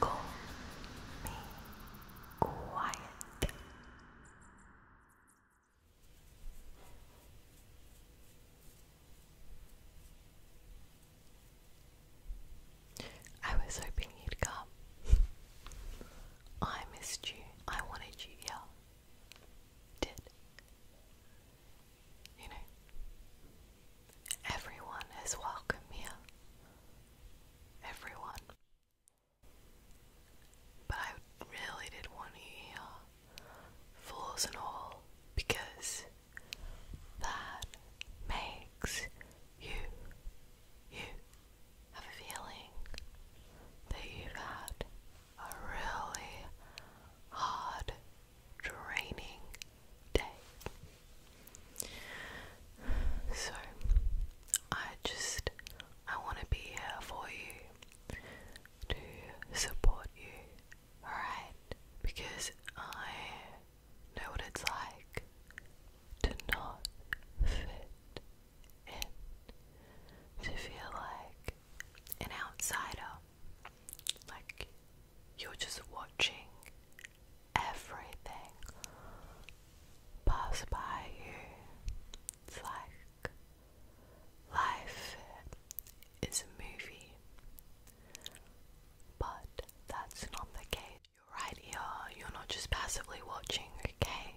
Call me quiet. I was hoping you'd come. I missed you. I wanted you here. Did. You know, everyone is welcome here. Everyone. But I really did want you here, flaws and all, because that makes you, you have a feeling that you've had a really hard, draining so I just I want to be here for you to support you, alright? Because I know what it's like to not fit in, to feel like an outsider, like you're just watching everything pass by you. It's like life is a movie, but that's not the case. You're right here, you're not just passively watching, okay?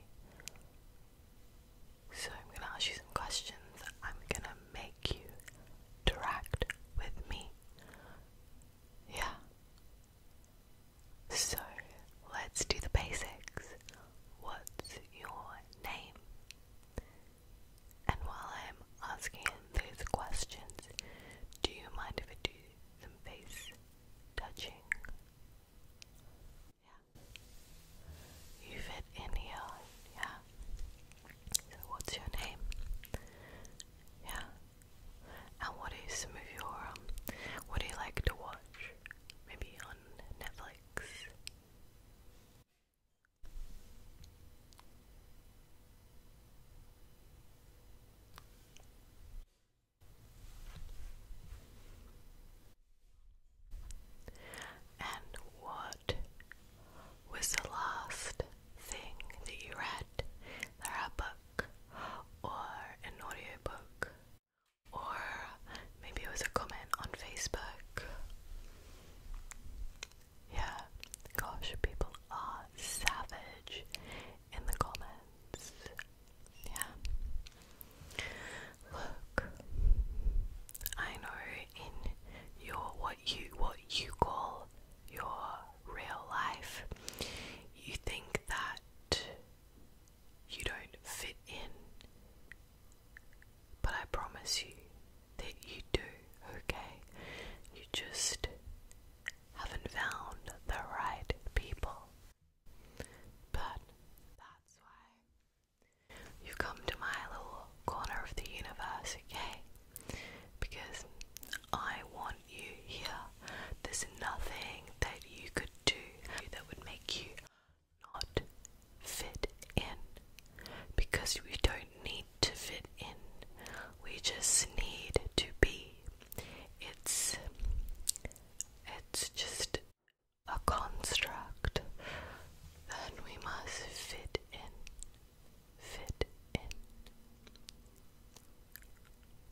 So, I'm gonna ask you some questions. I'm gonna make you interact with me. Yeah. So let's do the basics. What's your name? And while I'm asking those questions, do you mind if I do some face touching? Yeah. You fit in here, yeah. So, what's your name? Yeah. And what is some of your um, what do you like to watch? Maybe on Netflix. And what what was the last thing that you read? Either a book or an audio book, or maybe it was a comment on Facebook. Yeah, gosh, people are savage in the comments. Yeah. Look, I know in your what you what you call your real life, you think that you don't fit in. But I promise you that you do, okay? You just haven't found the right people. But that's why you come to my little corner of the universe, okay? because I want you here. There's nothing that you could do that would make you not fit in because we don't need to fit in, we just need to be. It's it's just a construct that we must fit in fit in.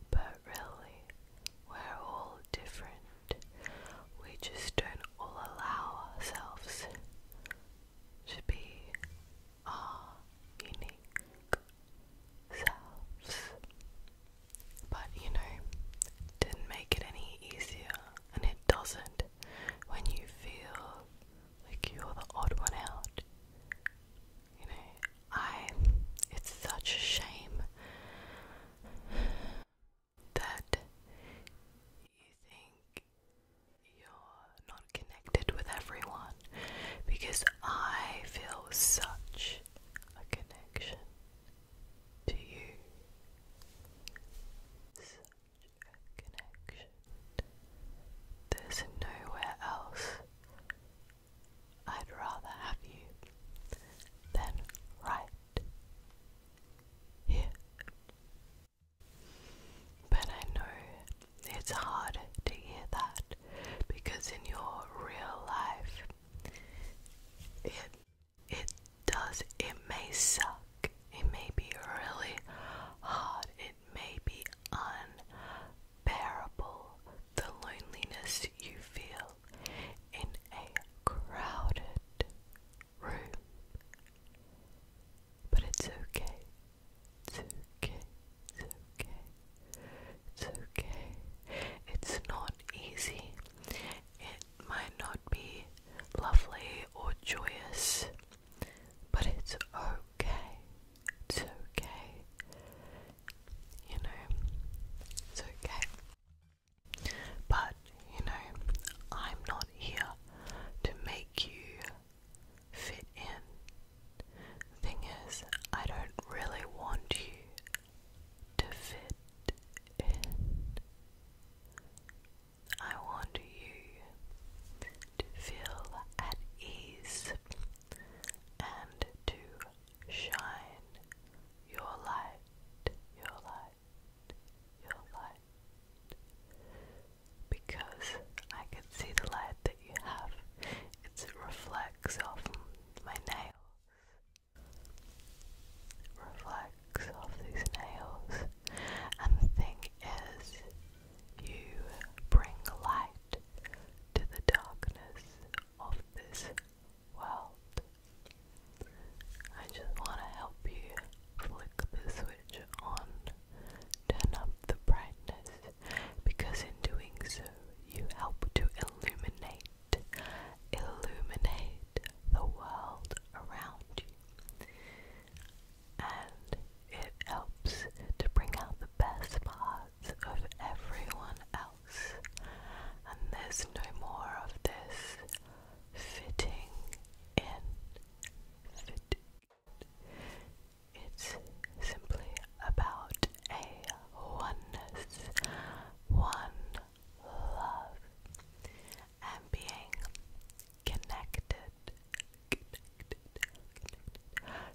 But really, we're all different. We just don't all allow ourselves to be our unique selves. But you know, it didn't make it any easier, and it doesn't when you feel like you're the odd one out. You know, I it's such a shame that you think you're not connected with everyone because I feel such a connection to you. There's nowhere else I'd rather have you than right here. But I know it's hard to hear that because in your real life, it it does it may suck. It may be really hard may be unbearable the loneliness you feel in a crowded room. But it's okay. It's okay. It's okay. It's okay. It's not easy. It might not be lovely or joyous. But it's okay. It's okay. You know, it's okay. But, you know, I'm not here to make you fit in. Thing is, I don't really want you to fit in. I want you to feel at ease and to shine your light, your light, your light. Because I can see the light that you have, it reflects off my nails, reflects off these nails, and the thing is, you bring light to the darkness of this world. I just want to help you flick the switch on, turn up the brightness, because in doing so, you help to illuminate, illuminate the world around you and it helps to bring out the best parts of everyone else. And there's no more of this fitting in. Fit. It's simply about a oneness, one love, and being connected,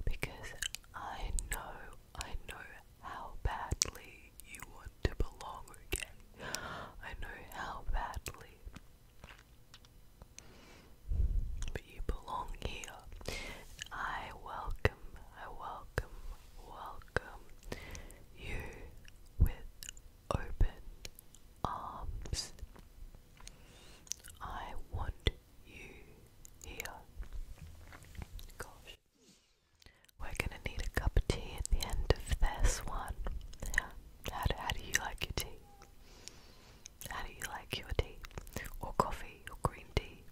Because I know, I know how badly you want to belong again. I know how badly. But you belong here. I welcome, I welcome, welcome you with open arms. I want you here. Gosh. We're gonna need a cup of tea at the end of this one. Yeah. How do, how do you like your tea? How do you like your tea? Or coffee, or green tea?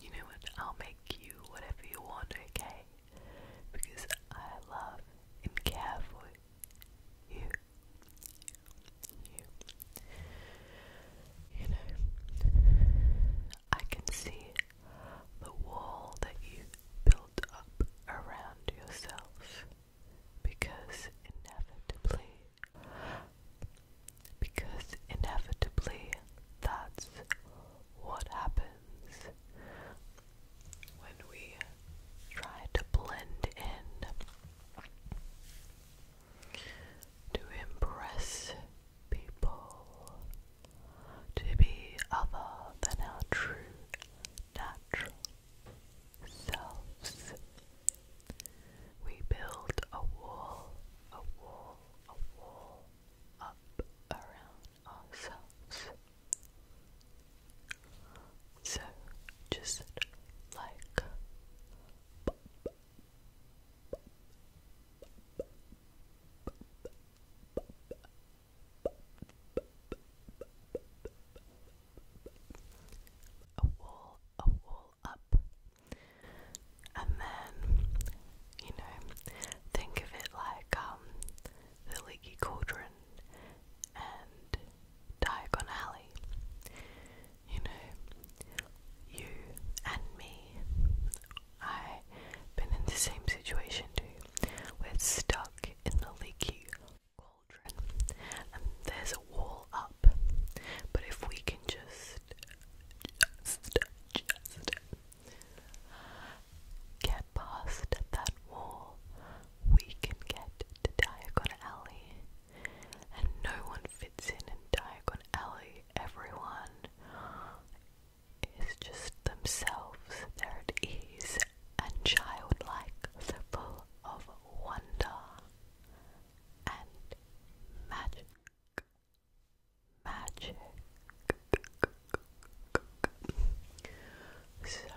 You know what? I'll make you whatever you want, okay? Because I love and care for you you. know, I can see the wall that you built up around yourself because inevitably. Because inevitably that's what happens when we try to blend in to impress people, to be other than our true natural selves. We build a wall, a wall, a wall up around ourselves. So just like a wall, a wall up, and then you know, think of it like um, the leaky cauldron and Diagon You know, you and me, I've been in the same situation too. We're stuck in the leaky cauldron and there's a wall up, but if we can just, just, just get past that wall, we can get to Diagon and no one fits in in Diagon Alley. Everyone is just themselves. They're at ease and childlike, so full of wonder and magic. Magic. So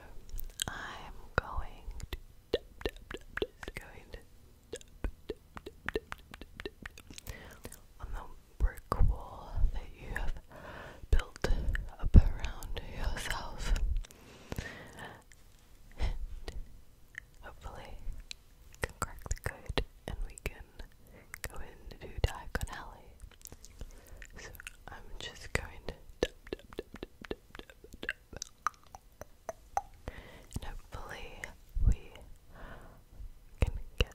I'm going is going on the brick wall that you have built up around yourself. And hopefully can crack the code and we can go into Diagon Alley. So I'm just going to and hopefully we can get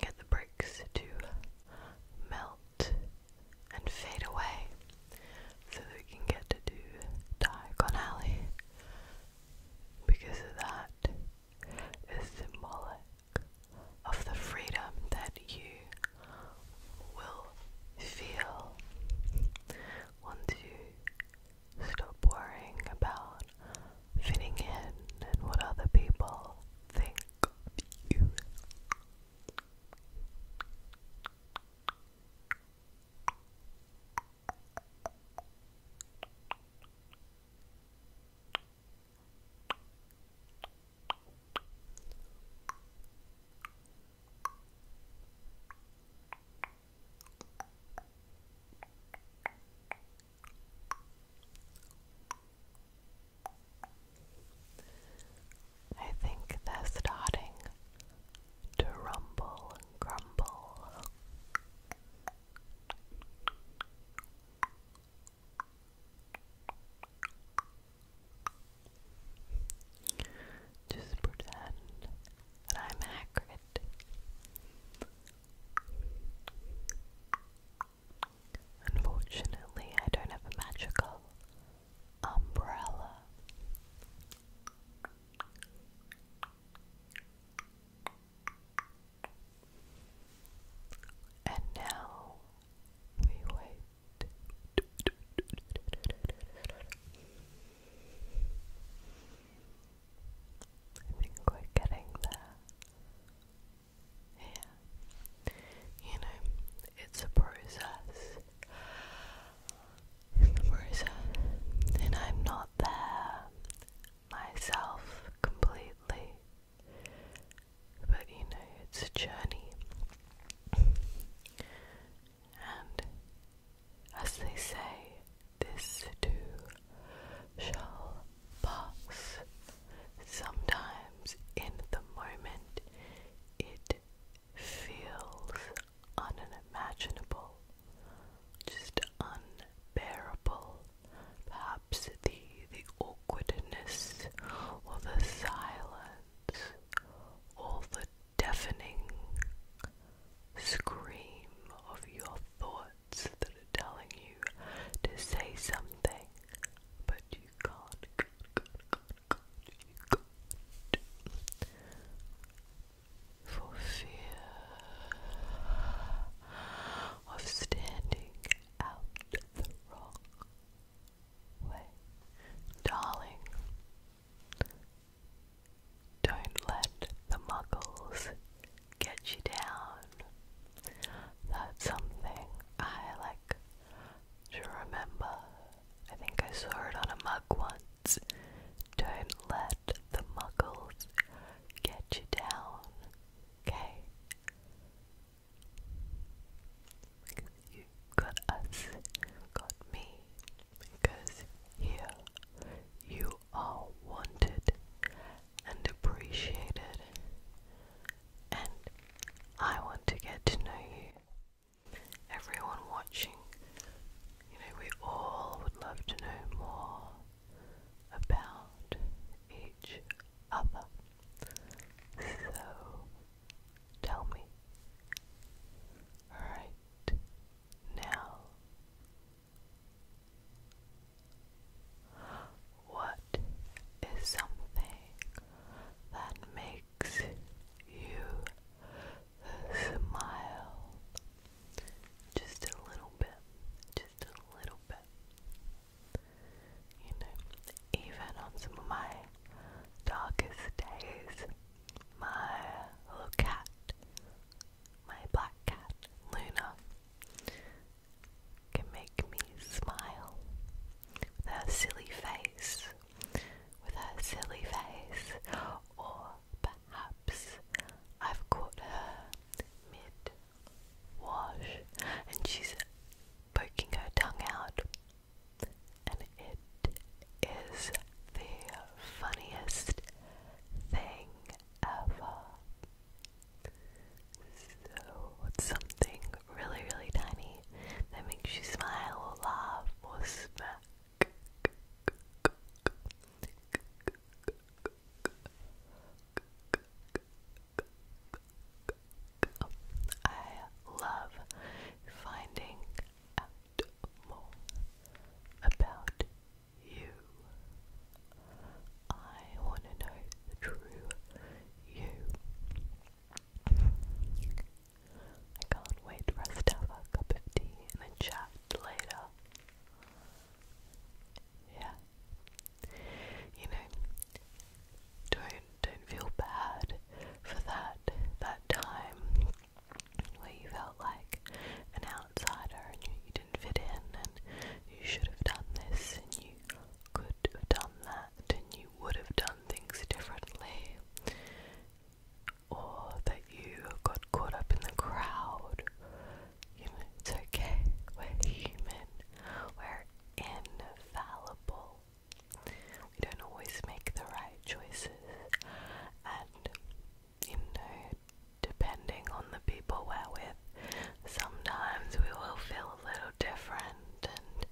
get the bricks to melt and fade away so we can get to do Diagon because that is symbolic of the freedom that you will feel once you stop worrying about fitting in and what other people think of you. I think they're starting to rumble and grumble. Just pretend that I'm Hagrid. Unfortunately, I don't have a magical umbrella. And now we wait. I think we getting there. Yeah. You know, it's a process. process. And I'm not there myself completely. But you know, it's a journey and as they say, this too shall pass. Sometimes in the moment it feels unimaginable, just unbearable. Perhaps the the awkwardness or the silence all the deafening scream of your thoughts that are telling you to say something, but you can't. For fear of standing out the wrong way. Darling, don't let the muggles get you down. That's something I like to remember. I think I saw it on a mug once. Don't let the muggles get you down, okay? got us, got me. Because here you are wanted and appreciated, and I want to get to know you. Everyone watching, you know, we all would love to know more about each other. So tell me right now. What is something that makes you smile just a little bit, just a little bit? You know, even on some of my darkest days, my little cat, my black cat, Luna, can make me smile with her silly face, with her silly face, or perhaps I've caught her mid wash and she's poking her tongue out and it is the funniest thing ever. So, something really, really tiny that makes you smile or laugh or smack. I love finding more about you. I want to know the true you. I can't wait for us to have a cup of tea and a chat later. Yeah. You know, don't don't feel bad for that that time where you felt like an outsider and you, you didn't fit in and you should have done this and you could have done that and you would have done things differently or that you got caught up in the crowd. You know, it's okay. We're human. We're infallible we don't always make the right choices, and you know, depending on the people we're with, sometimes we will feel a little different, and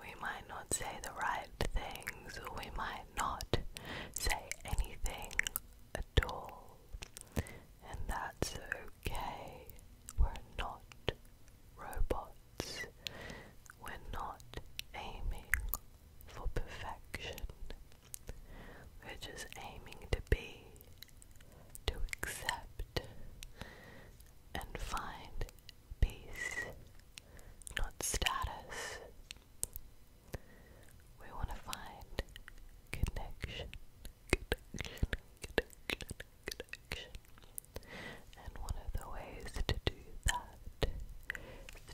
we might not say the right things, or we might not say anything at all, and that's okay. We're not robots. We're not aiming for perfection. We're just aiming to be, to accept, and find peace, not status. We want to find connection, connection, connection, connection. And one of the ways to do that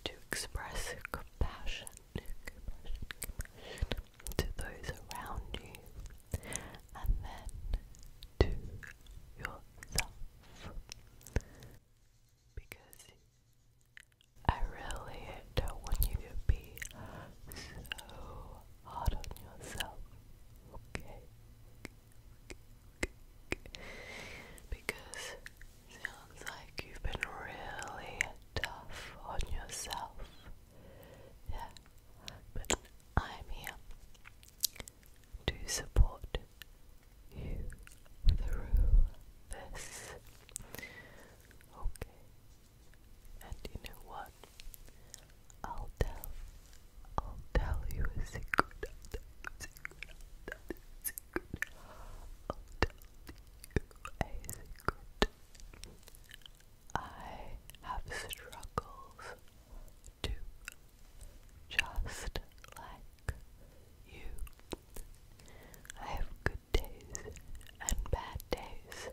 to express compassion, compassion, to those around you and then to yourself. Because I really don't want you to be so hard on yourself, okay? Because Sounds like you've been really tough on yourself. Yeah, but I'm here to support you through this. Okay, and you know what? I'll tell, I'll tell you a secret i have struggles just like you. I have good days and bad days.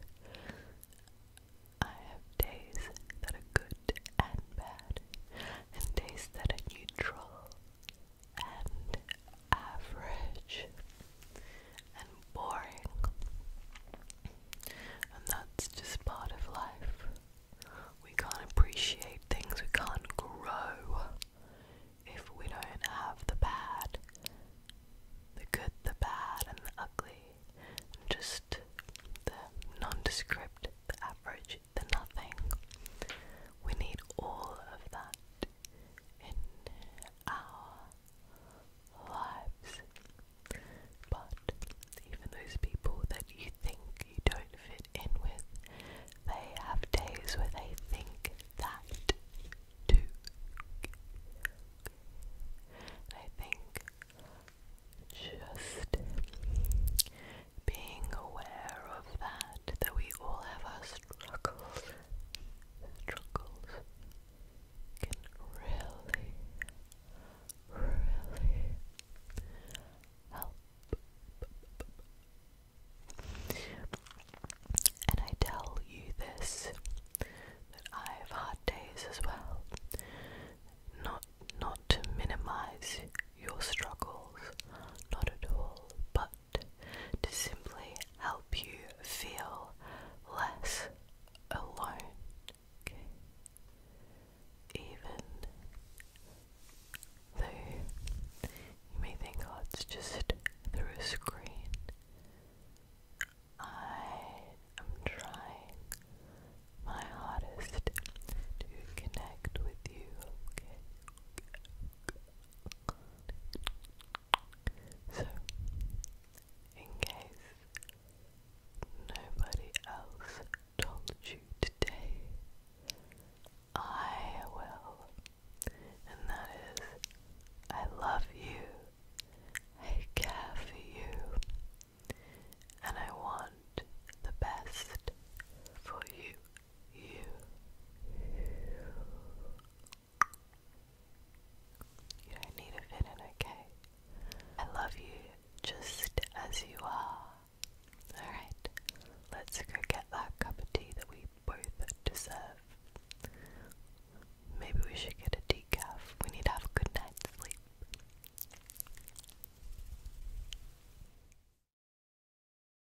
I have days that are good and bad, and days that are neutral, and average and boring. And that's just part of life. We can't appreciate things, we can't grow if we don't have the bad, the good, the bad, and the ugly, and just the nondescript, the average, the nothing. We need all of that in our lives. But even those people that you think you don't fit in with, they have days where they think that too. And I think just being aware of that, that we all have our struggles, struggles can really, really help. And I tell you this that I've had days as well. Not not to minimize your struggles, not at all, but to simply help you feel less alone. Even though you may think, oh, it's just through a screen, I am trying my hardest to connect with you. So, in case nobody else told you today, I will. And that is, I love you, I care for you, and I want the best for you you you don't need to fit in, okay? I love you just as you are. Alright, let's go get that cup of tea that we both deserve. Maybe we should get a decaf. We need to have a good night's sleep.